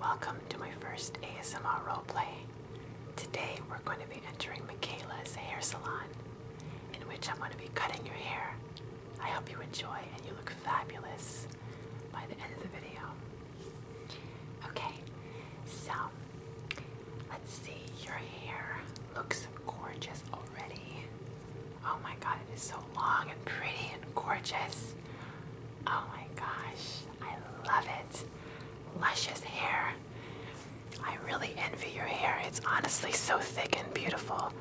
Welcome to my first ASMR roleplay. Today we're going to be entering Michaela's hair salon, in which I'm going to be cutting your hair. I hope you enjoy and you look fabulous by the end of the video. Okay, so let's see. Your hair looks gorgeous already. Oh my god, it is so long and pretty and gorgeous. Oh my gosh, I love it. Luscious hair. I really envy your hair. It's honestly so thick and beautiful.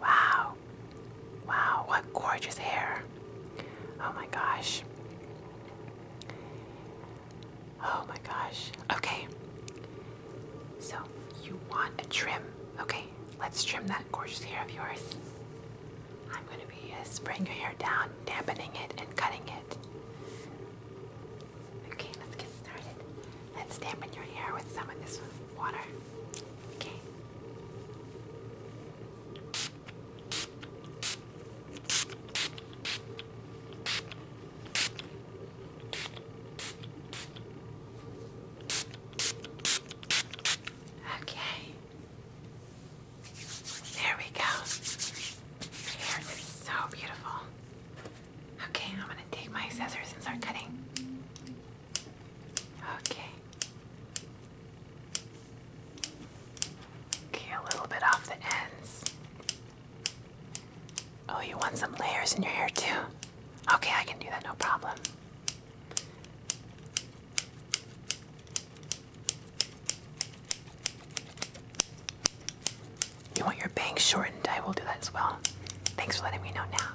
Wow. Wow, what gorgeous hair. Oh my gosh. Oh my gosh. Okay. So, you want a trim. Okay, let's trim that gorgeous hair of yours. I'm going to be uh, spraying your hair down, dampening it, and cutting it. Okay, let's get started. Let's dampen your hair with some of this water. Okay. Okay. There we go. Your hair is so beautiful. Okay, I'm gonna take my scissors and start cutting. Okay. Okay, a little bit off the ends. Oh, you want some layers in your hair too? Okay, I can do that, no problem. You want your bangs shortened? I will do that as well. Thanks for letting me know now.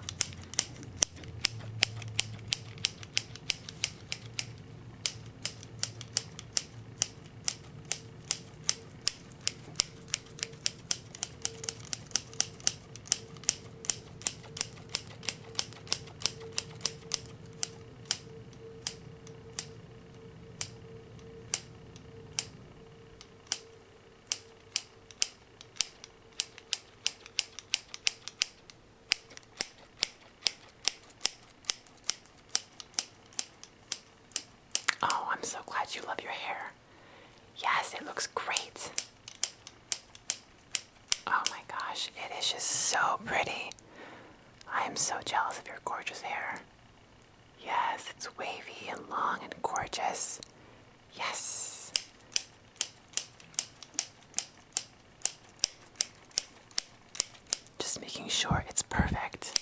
Oh, I'm so glad you love your hair. Yes, it looks great. Oh my gosh, it is just so pretty. I am so jealous of your gorgeous hair. Yes, it's wavy and long and gorgeous. Yes. Just making sure it's perfect.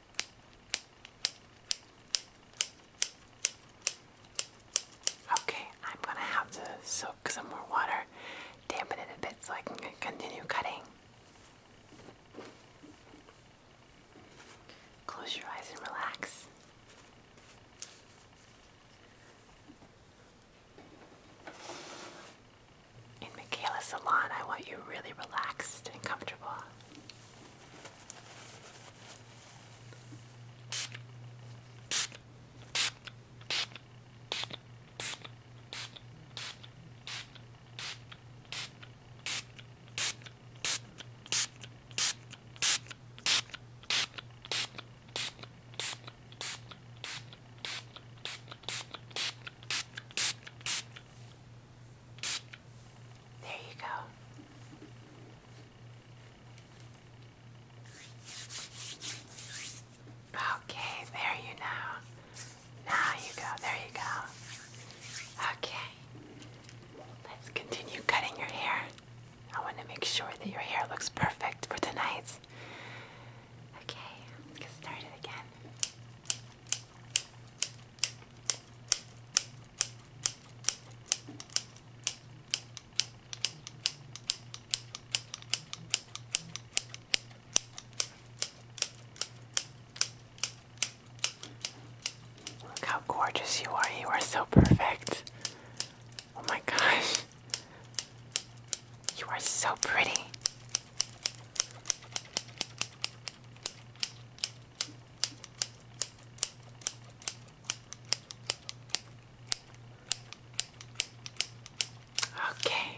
Okay, I'm gonna have to soak some more water, dampen it a bit so I can continue cutting. Close your eyes and relax in Michaela's salon, I want you really relaxed and comfortable. There you go. Okay, there you now. Now you go, there you go. Okay. Let's continue cutting your hair. I want to make sure that your hair looks perfect for tonight's. Okay, let's get started again how gorgeous you are. You are so perfect. Oh my gosh. You are so pretty. Okay,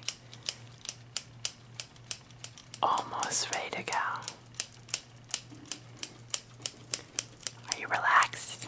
almost ready to go. Are you relaxed?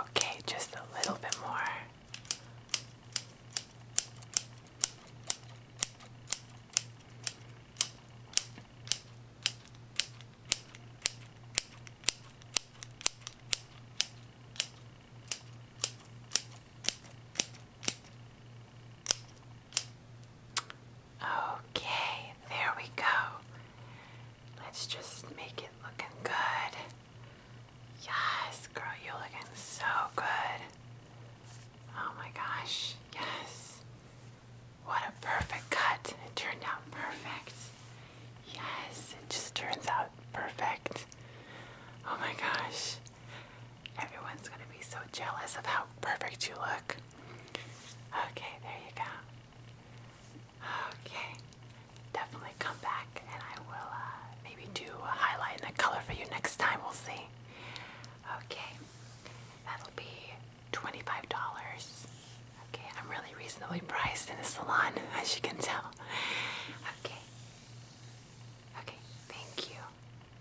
Okay, just a little bit more. Okay, there we go. Let's just make it looking good. Yes, girl, you looking so good. Oh my gosh, yes. What a perfect cut. It turned out perfect. Yes, it just turns out perfect. Oh my gosh. Everyone's gonna be so jealous of how perfect you look. Okay, there you go. Okay, definitely come back and I will uh, maybe do a highlight in the color for you next time. We'll see. Okay, that'll be $25. Okay, I'm really reasonably priced in the salon, as you can tell. Okay. Okay, thank you.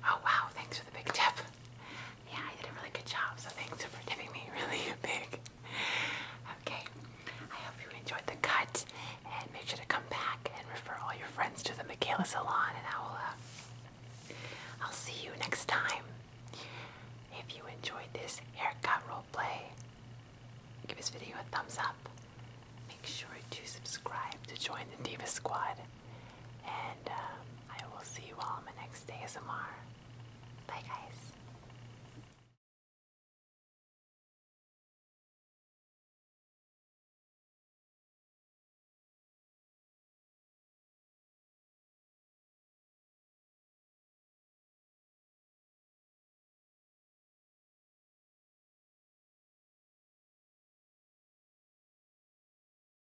Oh wow, thanks for the big tip. Yeah, I did a really good job, so thanks for tipping me really big. Okay, I hope you enjoyed the cut, and make sure to come back and refer all your friends to the Michaela Salon, and I will, uh, I'll see you next time. If you enjoyed this haircut roleplay, give this video a thumbs up. Make sure to subscribe to join the Diva Squad. And um, I will see you all on my next ASMR. Bye, guys.